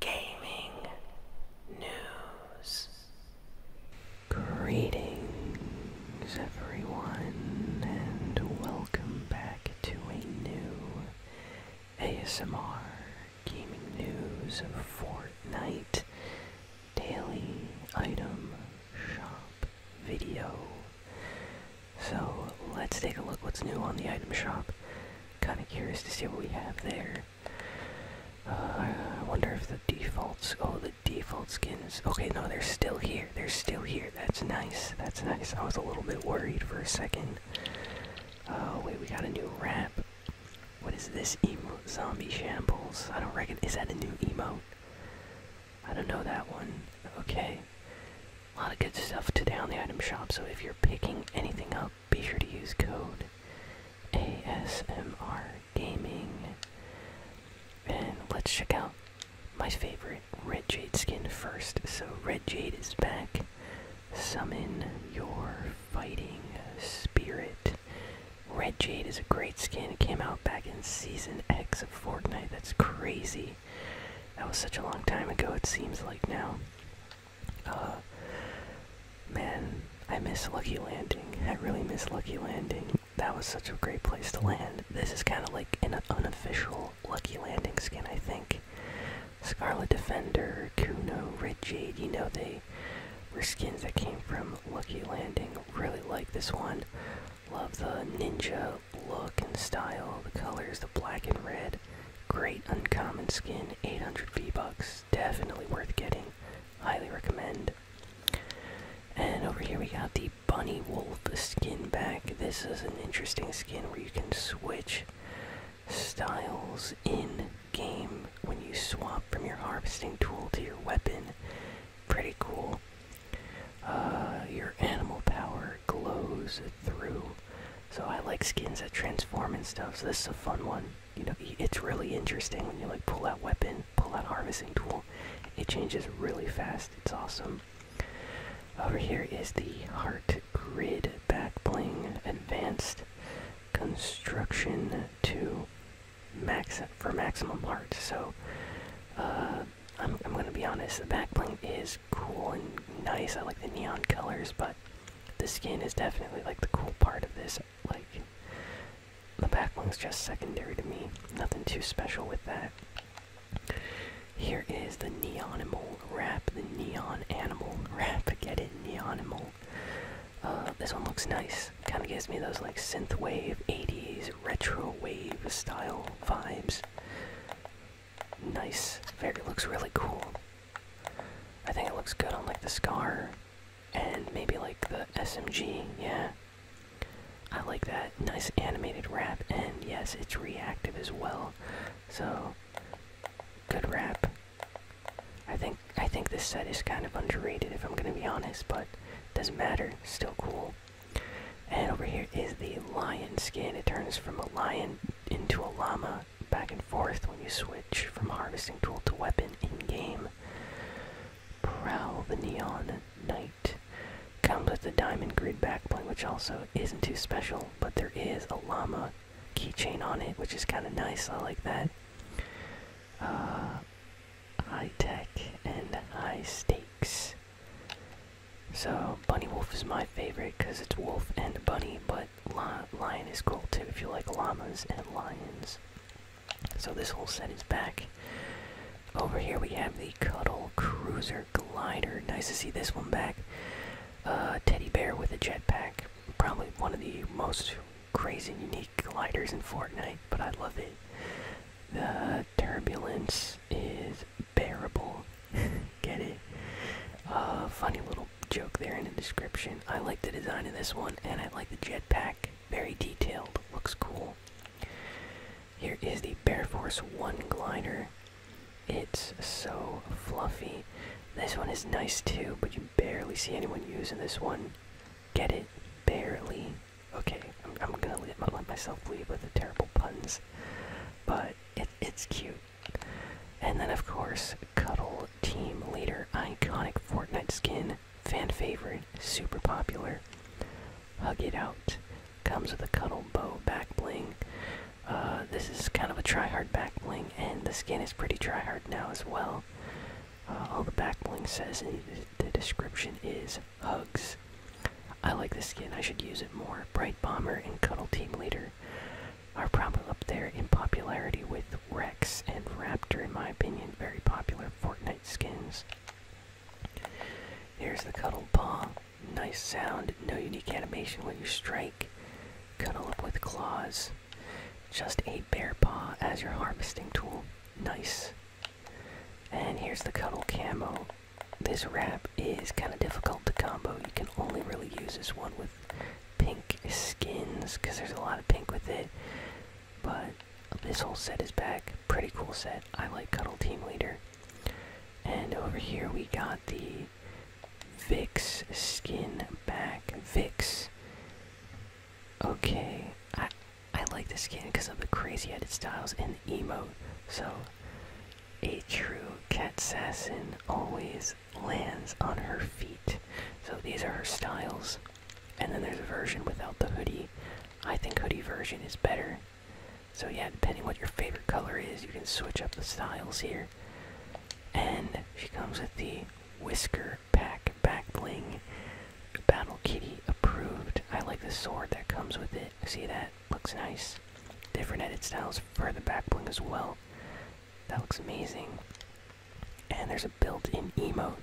gaming news. Greetings, everyone, and welcome back to a new ASMR gaming news Fortnite daily item shop video. So let's take a look what's new on the item shop kind of curious to see what we have there. Uh, I wonder if the defaults. Oh, the default skins. Okay, no, they're still here. They're still here. That's nice. That's nice. I was a little bit worried for a second. Oh, wait, we got a new wrap. What is this emote? Zombie shambles. I don't reckon. Is that a new emote? I don't know that one. Okay. A lot of good stuff today on the item shop, so if you're picking anything up, be sure to use code ASMR Gaming. And let's check out my favorite Red Jade skin first. So, Red Jade is back. Summon your fighting spirit. Red Jade is a great skin. It came out back in Season X of Fortnite. That's crazy. That was such a long time ago, it seems like now. Uh, man, I miss Lucky Landing. I really miss Lucky Landing. That was such a great place to land. This is kind of like an unofficial Lucky Landing skin, I think. Scarlet Defender, Kuno, Red Jade, you know, they were skins that came from Lucky Landing. Really like this one. Love the ninja look and style, the colors, the black and red. Great uncommon skin, 800 V-Bucks. Definitely worth getting. Highly recommend. And over here we got the Bunny Wolf skin back. This is an interesting skin where you can switch styles in game when you swap from your harvesting tool to your weapon. Pretty cool. Uh, your animal power glows through. So I like skins that transform and stuff. So this is a fun one. You know, it's really interesting when you like pull that weapon, pull that harvesting tool. It changes really fast. It's awesome. Over here is the heart grid back bling advanced construction to max for maximum heart. So uh, I'm, I'm gonna be honest, the backbling is cool and nice. I like the neon colors, but the skin is definitely like the cool part of this. Like, the backling's just secondary to me. Nothing too special with that. Here is the neon animal wrap, the Neon Animal wrap. Forget it, neon animal. Uh, this one looks nice. Kind of gives me those like synthwave, 80s, retro wave style vibes. Nice. Very looks really cool. I think it looks good on like the scar and maybe like the SMG. Yeah. I like that nice animated wrap and yes, it's reactive as well. So good wrap. I think I think this set is kind of underrated if I'm going to be honest, but doesn't matter. Still cool. And over here is the lion skin. It turns from a lion into a llama back and forth when you switch from harvesting tool to weapon in game. Prowl the Neon Knight comes with a diamond grid backplate, which also isn't too special, but there is a llama keychain on it, which is kind of nice. I like that. Uh, high tech and high stakes. So, Bunny Wolf is my favorite because it's wolf and bunny, but lion is cool too if you like llamas and lions. So, this whole set is back. Over here we have the Cuddle Cruiser Glider. Nice to see this one back. Uh, teddy bear with a jetpack. Probably one of the most crazy, unique gliders in Fortnite, but I love it. The turbulence is bearable. Get it? Uh, funny little joke there in the description. I like the design of this one, and I like the jetpack. Very detailed. Looks cool. Here is the Bear Force 1 glider. It's so fluffy. This one is nice too, but you barely see anyone using this one. Get it? Barely okay, I'm, gonna let, myself lead with the terrible puns, but it, it's cute. And then, of course, Cuddle Team Leader, iconic Fortnite skin, fan favorite, super popular. Hug It Out comes with a Cuddle Bow back bling. Uh, this is kind of a tryhard back bling, and the skin is pretty tryhard now as well. Uh, all the back bling says in the description is Hugs. I like the skin. I should use it more. Bright Bomber and Cuddle Team Leader are probably up there in popularity with Rex and Raptor, in my opinion. Very popular Fortnite skins. Here's the Cuddle Paw. Nice sound. No unique animation when you strike. Cuddle up with claws. Just a bear paw as your harvesting tool. Nice. And here's the Cuddle Camo. This wrap is kind of difficult to combo. You can only really use this one with pink skins because there's a lot of pink with it. But this whole set is back. Pretty cool set. I like Cuddle Team Leader. And over here we got the Vix skin back. Vix. Okay. I like this skin because of the crazy edit styles and the emo. So, a true cat assassin always lands on her feet. So these are her styles. And then there's a version without the hoodie. I think hoodie version is better. So yeah, depending what your favorite color is, you can switch up the styles here. And she comes with the whisker Pack Back Bling. Battle Kitty approved. I like the sword that comes with it. See that? Looks nice. Different edit styles for the back bling as well. That looks amazing. And there's a built-in emote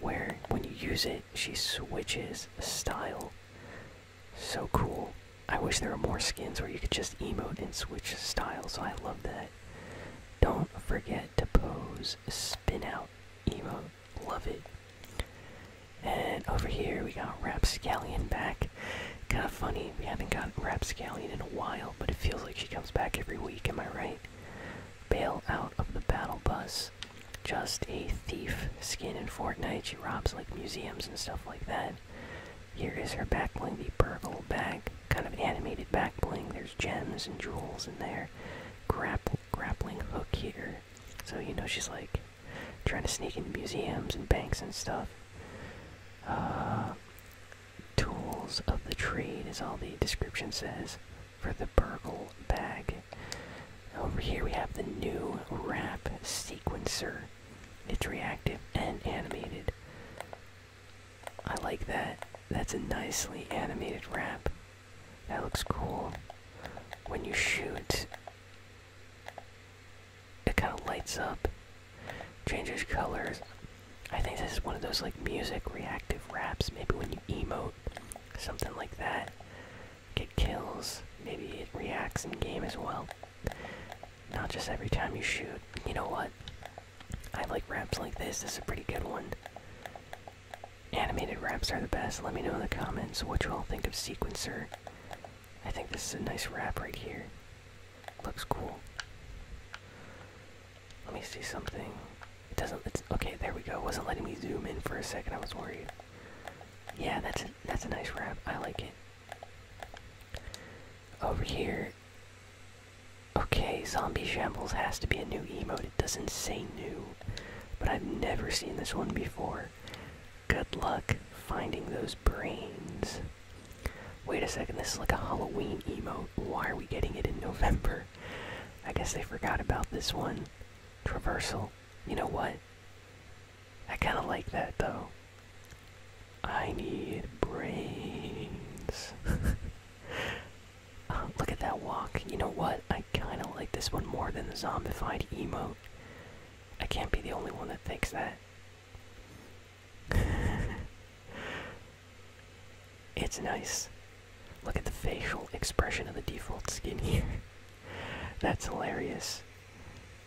where when you use it, she switches style. So cool. I wish there were more skins where you could just emote and switch styles. so I love that. Don't forget to pose spin out emote. Love it. And over here we got Rapscallion back. Kind of funny, we haven't got Rapscallion in a while, but it feels like she comes back every week, am I right? Bail out of the battle bus. Just a thief skin in Fortnite. She robs like museums and stuff like that. Here is her back bling, the purple bag. Kind of animated back bling. There's gems and jewels in there. Grapple grappling hook here. So, you know, she's like trying to sneak into museums and banks and stuff. Uh, tools of the trade as all the description says for the burgle bag. Over here we have the new wrap sequencer. It's reactive and animated. I like that. That's a nicely animated wrap. That looks cool. When you shoot, it kind of lights up, changes colors. I think this is one of those like music reactive wraps. Maybe when you emote, something like that. Get kills. Maybe it reacts in game as well. Not just every time you shoot. You know what? I like raps like this. This is a pretty good one. Animated raps are the best. Let me know in the comments what you all think of Sequencer. I think this is a nice rap right here. Looks cool. Let me see something. It doesn't. It's okay. There we go. It wasn't letting me zoom in for a second. I was worried. Yeah, that's a, that's a nice rap. I like it. Over here Okay, Zombie Shambles has to be a new emote. It doesn't say new, but I've never seen this one before. Good luck finding those brains. Wait a second, this is like a Halloween emote. Why are we getting it in November? I guess they forgot about this one. Traversal. You know what? I kinda like that though. I need brains. look at that walk. You know what? I kind of like this one more than the zombified emo. I can't be the only one that thinks that. it's nice. Look at the facial expression of the default skin here. That's hilarious.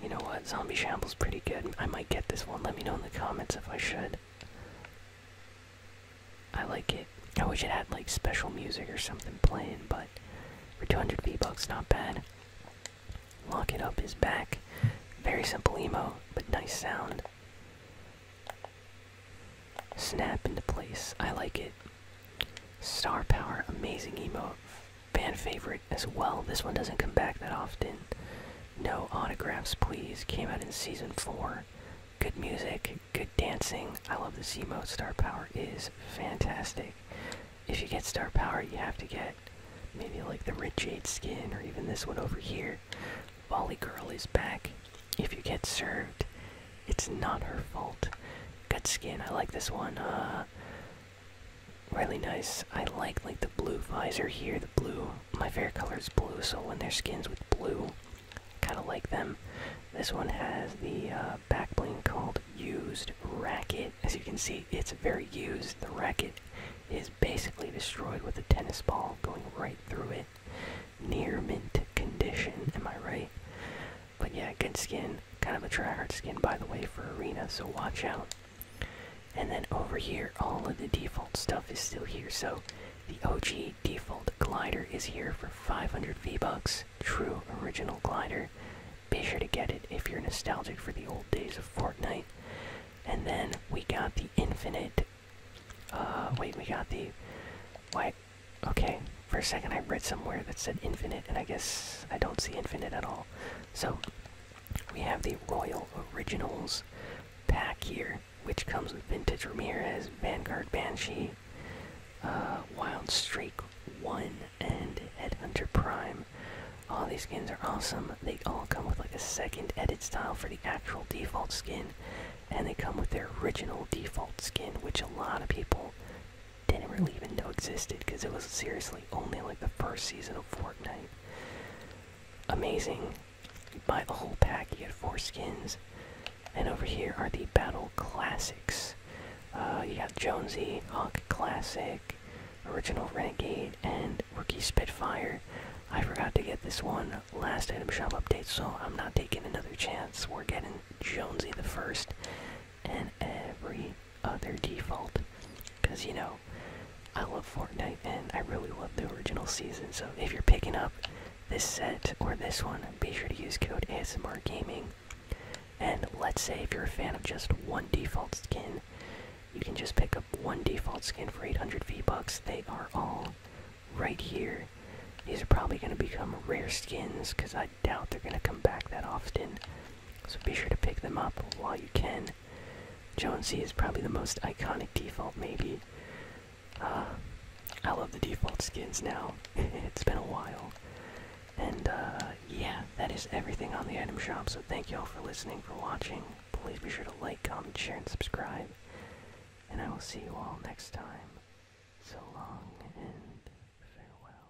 You know what? Zombie Shamble's pretty good. I might get this one. Let me know in the comments if I should. I like it. I wish it had like special music or something playing, but for 200 V-Bucks, not bad. Lock It Up is back. Very simple emo, but nice sound. Snap into place. I like it. Star Power, amazing emo. Fan favorite as well. This one doesn't come back that often. No Autographs, Please came out in season 4. Good music, good dancing. I love the C mode. Star Power is fantastic. If you get Star Power, you have to get maybe like the Red Jade skin or even this one over here. Volley Girl is back. If you get served, it's not her fault. Good skin. I like this one. Uh, really nice. I like like the blue visor here. The blue, my favorite color is blue, so when their skins with blue, kind of like them. This one has the uh, back bling called used racket. As you can see, it's very used. The racket is basically destroyed with a tennis ball going right through it. Near mint condition, am I right? But yeah, good skin. Kind of a tryhard skin, by the way, for Arena, so watch out. And then over here, all of the default stuff is still here. So the OG default glider is here for 500 V-Bucks. True original glider. Be sure to get it if you're nostalgic for the old days of Fortnite. And then we got the infinite. Uh, wait, we got the. Why? Okay, for a second I read somewhere that said infinite, and I guess I don't see infinite at all. So we have the Royal Originals pack here, which comes with Vintage Ramirez, Vanguard Banshee, uh, Wild Streak 1, and Ed Under Prime. All these skins are awesome. They all come with like a second edit style for the actual default skin, and they come with their original default skin, which a lot of people didn't really even know existed because it was seriously only like the first season of Fortnite. Amazing. You buy the whole pack, you get four skins. And over here are the Battle Classics. Uh, you got Jonesy, Hawk Classic, Original Renegade, and Rookie Spitfire. I forgot to get this one last item shop update, so I'm not taking another chance. We're getting Jonesy the first, and every their default. Because, you know, I love Fortnite and I really love the original season. So if you're picking up this set or this one, be sure to use code ASMR Gaming. And let's say if you're a fan of just one default skin, you can just pick up one default skin for 800 V-Bucks. They are all right here. These are probably going to become rare skins because I doubt they're going to come back that often. So be sure to pick them up while you can. Jonesy is probably the most iconic default, maybe. Uh, I love the default skins now. it's been a while. And uh, yeah, that is everything on the item shop. So thank you all for listening, for watching. Please be sure to like, comment, share, and subscribe. And I will see you all next time. So long and farewell.